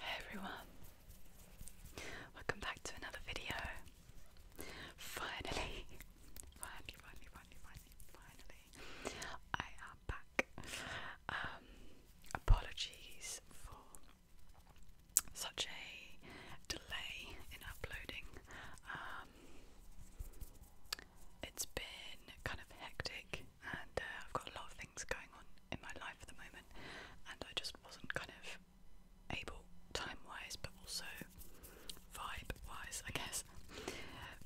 Hey everyone, welcome back to another video. Finally, finally, finally, finally, finally, finally, I am back. Um, apologies for such a delay in uploading. Um, it's been kind of hectic and uh, I've got a lot of things going on in my life at the moment, and I just wasn't kind of able, time wise, but also vibe wise, I guess,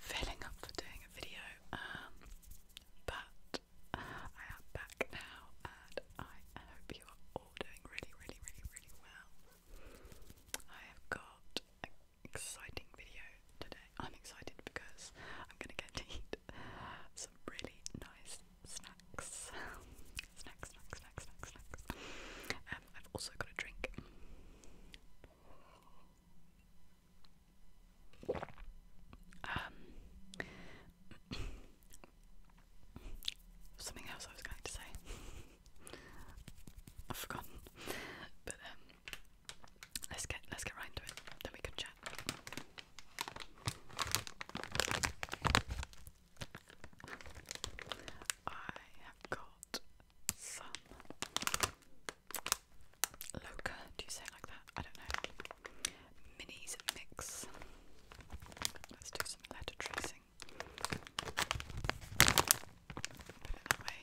filling up for doing a video. Um, but I am back now, and I hope you are all doing really, really, really, really well. I have got exciting video today. I'm excited because I'm gonna get to eat some really nice snacks. snacks, snacks, snacks, snacks, snacks. Um, I've also got a drink. Um, something else I was going to say. I've forgotten. But um, Let's get let's get right into it. Then we can chat. I have got some Loca, do you say like that? I don't know. Minis mix. Let's do some letter tracing put it that way.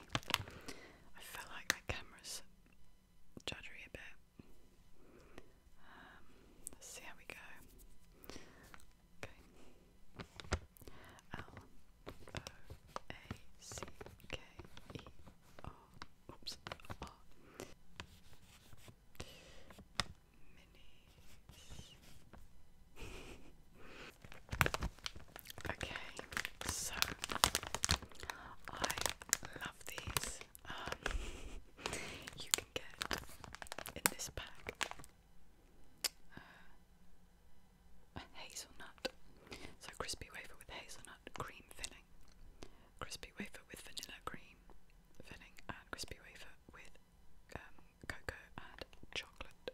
I feel like my camera's juddery a bit. Um, let's see how we go. Okay. L O A C K E R. Oops. R. Minis. Okay, so I love these. Um, you can get in this pack uh, a hazelnut, so crispy wafer with hazelnut cream filling, crispy wafer with vanilla cream filling, and crispy wafer with um, cocoa and chocolate.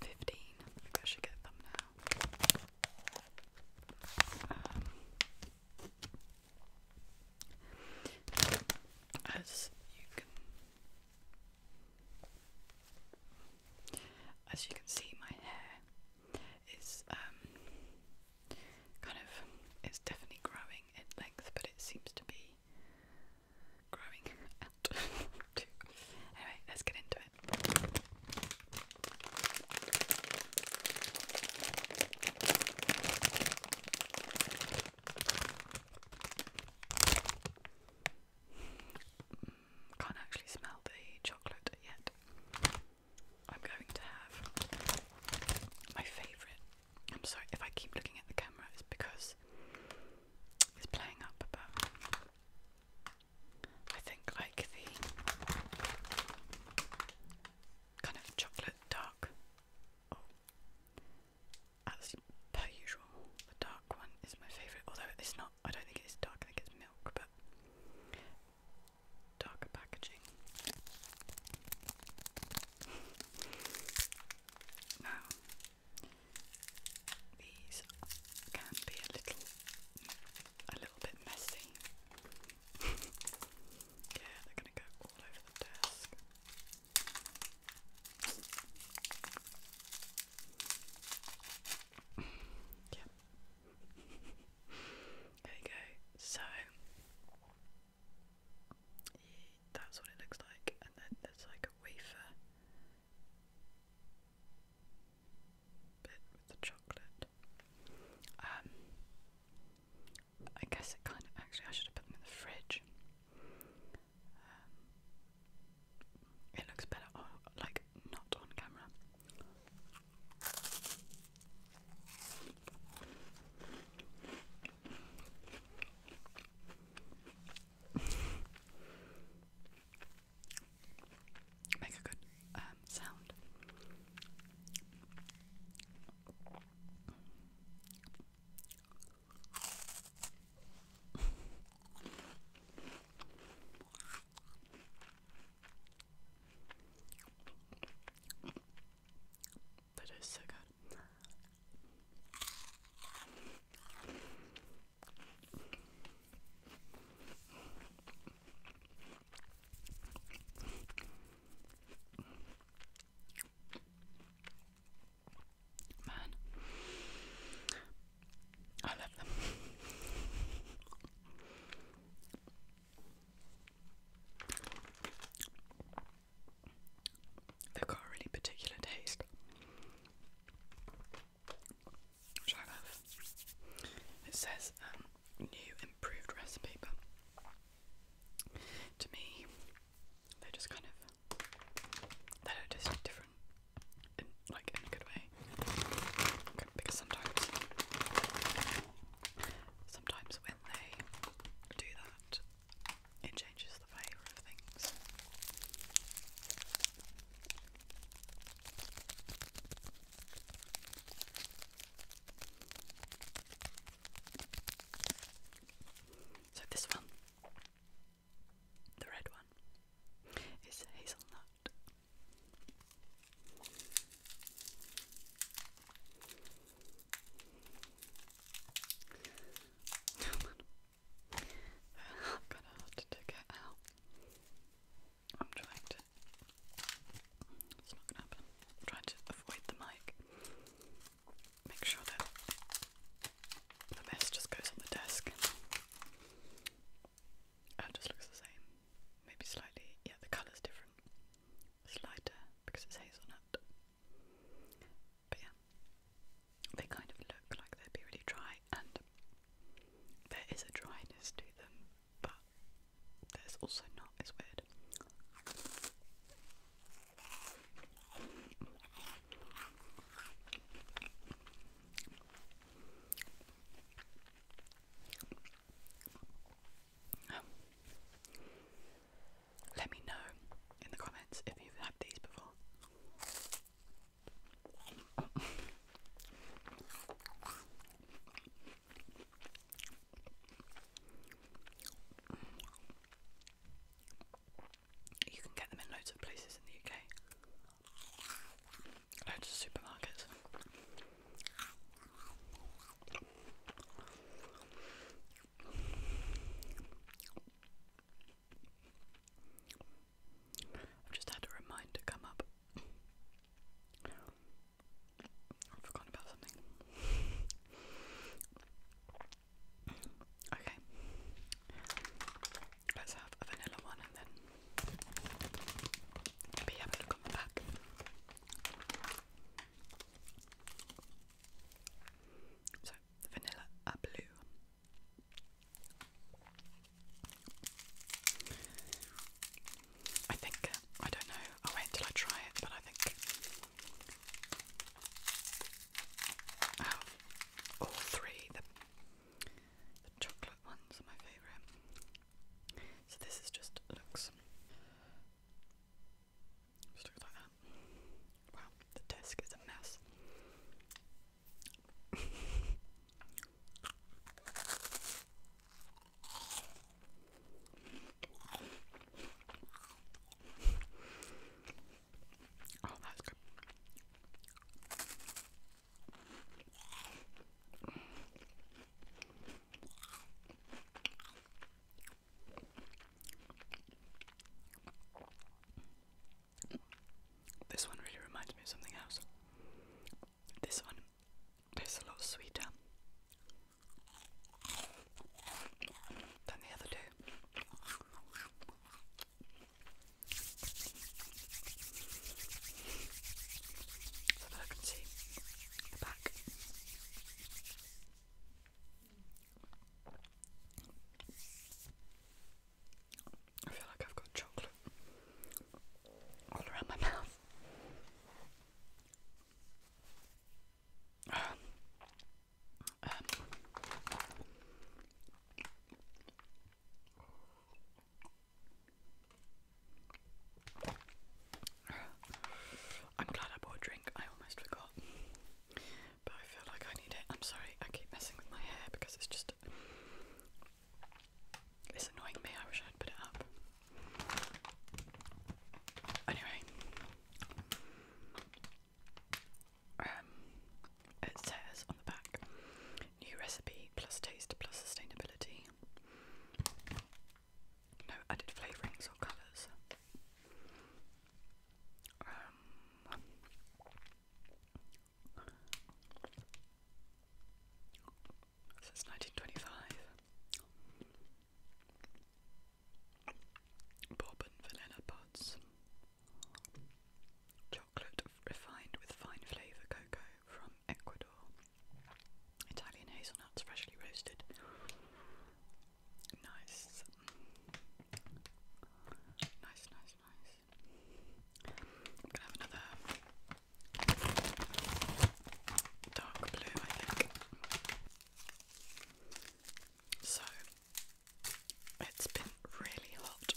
Fifteen. I should get them now. Um, as you can, as you can see, my hair is um kind of it's definitely growing in length, but it seems to be growing out Anyway, let's get into it. Can't actually smell the chocolate yet. I'm going to have my favourite. I'm sorry if I keep looking at the camera, because it's playing up, but I think like the kind of chocolate dark. Oh, as per usual, the dark one is my favourite. Although it's not, I don't think it is dark. I think it's milk, but darker packaging. Now, these can be a little, a little bit messy. yeah, they're going to go all over the desk. Yep. there you go. So, that's what it looks like, and then there's like a wafer bit with the chocolate. Um, I guess it kind of actually I should have put them in the fridge. Um, it looks better, like not on camera. Make a good um, sound. That is so good. Man, I love them. They've got a really particular taste. Which I love. It says um, new improved recipe, but to me, they just kind of they don't different like in a good way. because sometimes, sometimes when they do that, it changes the flavour of things. So this one, the red one, is hazelnut. I'm gonna have to take it out. I'm trying to. It's not gonna happen. trying to avoid the mic. Make sure that the mess just goes on the desk. it uh, just looks the same. Maybe slightly. Yeah, the colour's different. It's lighter because it's hazelnut. But yeah, they kind of look like they'd be really dry, and there is a dryness to them, but there's also not. It's weird. Let me know in the comments if you've had these before. You can get them in loads of places in the UK. Loads of supermarkets. I've just had a reminder come up. I've forgotten about something. Okay. Let's have a vanilla one and then maybe have a look back. So vanilla are blue. I think, I don't know, I'll wait till I try it, but I think out all three, the chocolate ones are my favourite. So this is just looks Wow, the desk is a mess. oh, that's good. This one really reminds me of something else. This one tastes a lot sweeter than the other two. So that I can see the back. I feel like I've got chocolate all around my mouth. Um, um, I'm glad I bought a drink, I almost forgot but I feel like I need it. I'm sorry, I keep messing with my hair because it's just. It's annoying me, I wish I'd put it up. Anyway, um, it says on the back new recipe plus taste plus sustainability. No added flavourings or colours. This is 1925, bourbon vanilla pods, chocolate refined with fine flavour cocoa from Ecuador, Italian hazelnuts freshly roasted. Nice. Nice, nice, nice. i have another dark blue, I think. So, it's been really hot.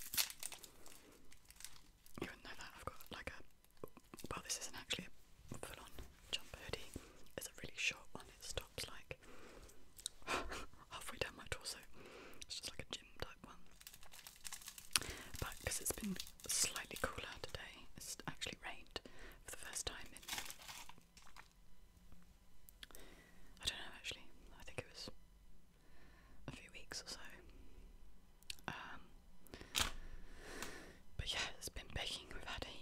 You would that, I've got like a. Well, this isn't actually a full on jumper hoodie, it's a really short one, it's style top's like halfway down my torso. It's just like a gym type one. But because it's been slightly cooler today, it's actually rained for the first time in. I don't know actually, I think it was a few weeks or so. Um, but yeah, it's been baking, we've had a heat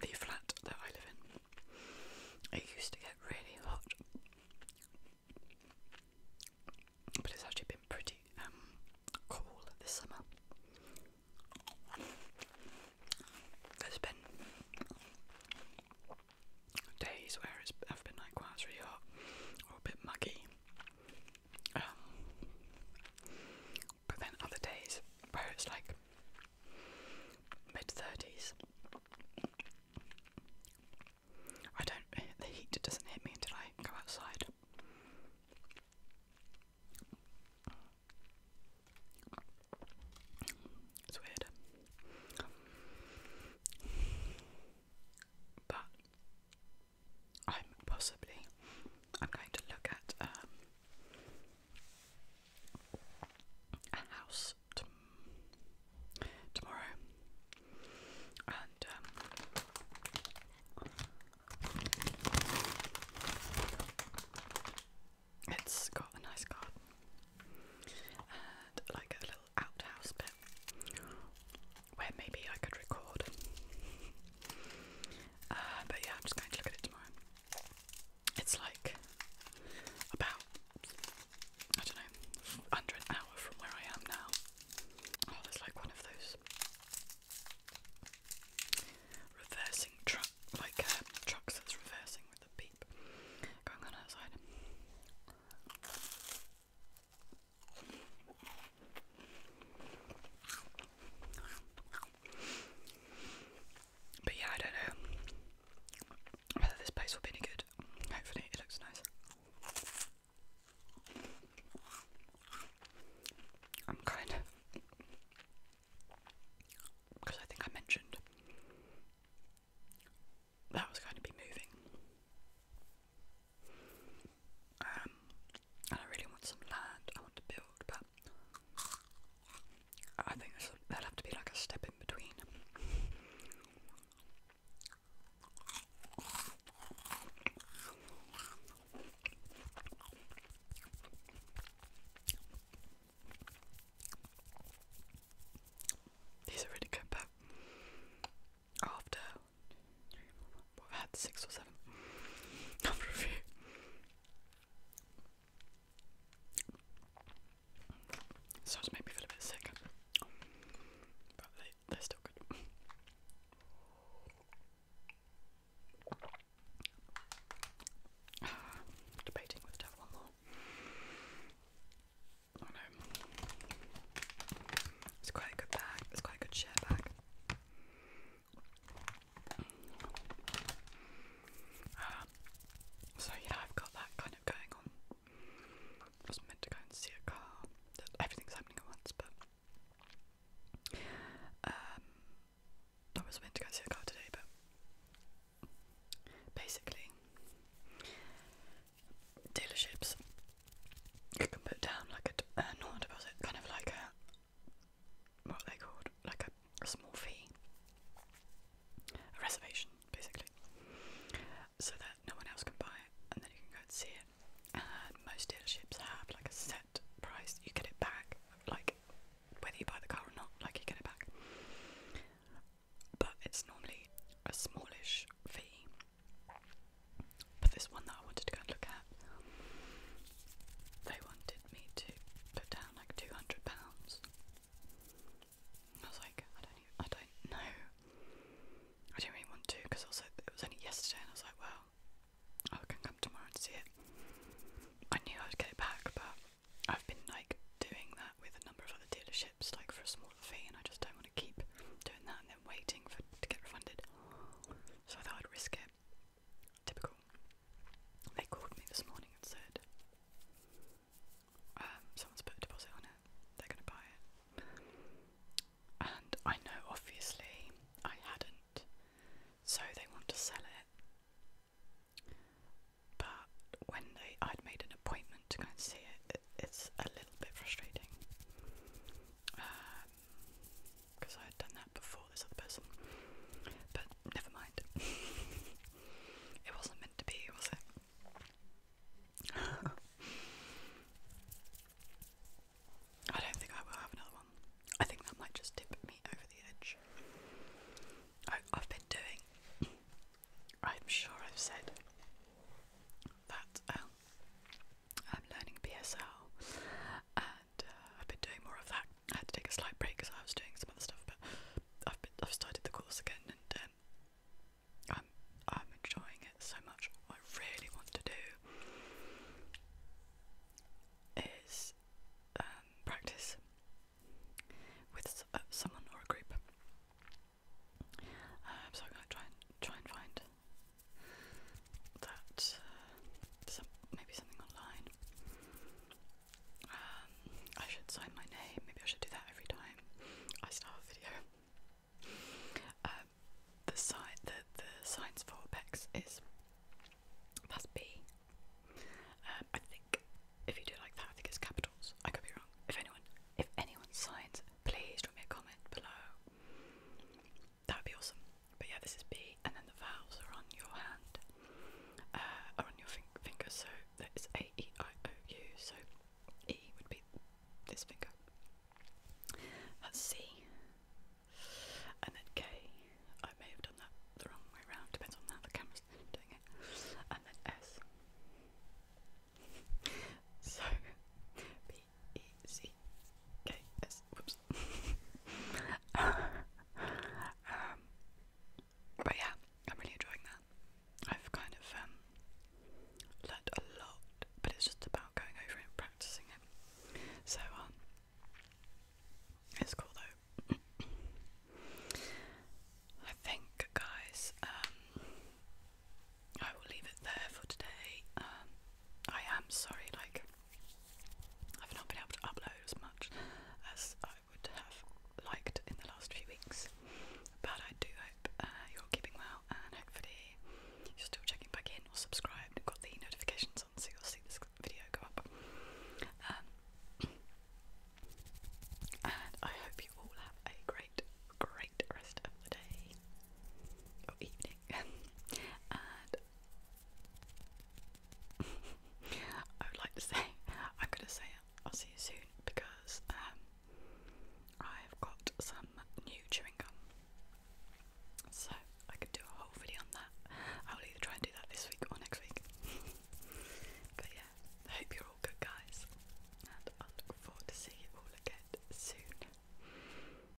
the flat that I live in. It used to get really hot, but it's actually been pretty um, cool this summer. There's been days where it's, I've been like, wow, really hot or a bit muggy. Um, but then other days where it's like mid thirties, I don't. The heat doesn't hit me until I go outside. It's weird. But I'm possibly I'm going to look at um, a house tomorrow, and um, it's got a nice garden like a little outhouse bit where maybe I could record. Uh, but yeah, I'm just going to look at it tomorrow. It's like about, I don't know, under an from where I am now. Oh, there's like one of those reversing truck, like uh, trucks that's reversing with the beep going on outside. But yeah, I don't know whether this place will be any good. Hopefully, it looks nice. I'm kind of. Because I think I mentioned that was going to be moving. Um, I really want some land I want to build, but I think this, that have to be like a step in between. These are really good, but after i had six or seven after a few. So made me feel a bit sick, but they, they're still good. debating whether to have one more. oh, know. It's quite a good bag. It's quite a good share bag so yeah, I've got that kind of going on. was meant to go and see a car. Everything's happening at once, but um, I was meant to go see a car today, but basically, dealerships you can put down like a, uh, a deposit, kind of like a what are they called? Like a, a small fee, a reservation, basically, so that no one else can buy it, and then you can go and see it. And most dealerships have like a set price. You get it back, like whether you buy the car or not, like you get it back. But it's normally a smallish fee. But this one that I wanted to go and look at, they wanted me to put down like two hundred pounds. I was like, I don't, I don't know. I didn't really want to because also it was only yesterday, and I was like, well, I can come tomorrow and see it. I knew I'd get it back, but I've been like doing that with a number of other dealerships, like for a smaller fee, and I just don't want to keep doing that and then waiting for to get refunded. So I thought I'd risk it Typical. They called me this morning and said, um, someone's put a deposit on it, they're going to buy it. And I know obviously I hadn't, so they want to sell it. But when they, I'd made an appointment to go and see it, it it's a little bit frustrating because I had done that before this other person. But never mind. it wasn't meant to be, was it? I don't think I will have another one. I think that might just tip me over the edge. I, have been doing. I'm sure I've said that um, I'm learning PSL uh, uh, I've been doing more of that. I had to take a slight break because I was doing some other stuff, but I've been, I've started the course again, and um, I'm I'm enjoying it so much. What I really want to do is um, practice with uh, someone or a group. Um, so I'm gonna try and try and find that uh, maybe something online. Um, I should sign my name. Maybe I should do that every time I start a video. Um, the sign, the the signs for pecs is that's B. Um, I think if you do like that, I think it's capitals. I could be wrong. If anyone, if anyone signs, please drop me a comment below that would be awesome. But yeah, this is B, and then the vowels are on your hand, uh, are on your finger. So it's A E I O U. So E would be this finger. That's C, and then K. I may have done that the wrong way around. Depends on how the camera's doing it. And then S. so B Um, but yeah, I'm really enjoying that. I've kind of um, learned a lot, but it's just about going over it and practicing it. So um, it's cool though. I think, guys, um, I will leave it there for today. Um, I am sorry, like, I've not been able to upload as much as I would have liked in the last few weeks. But I do hope uh, you're keeping well and hopefully you're still checking back in or subscribed. and got the notifications on so you'll see this video go up. Um, and I hope you all have a great, great rest of the day or evening. and I would like to say, I'm gonna say I'll see you soon because um, I've got some new chewing gum, so I can do a whole video on that. I will either try and do that this week or next week. but yeah, I hope you're all good, guys, and I look forward to seeing you all again soon.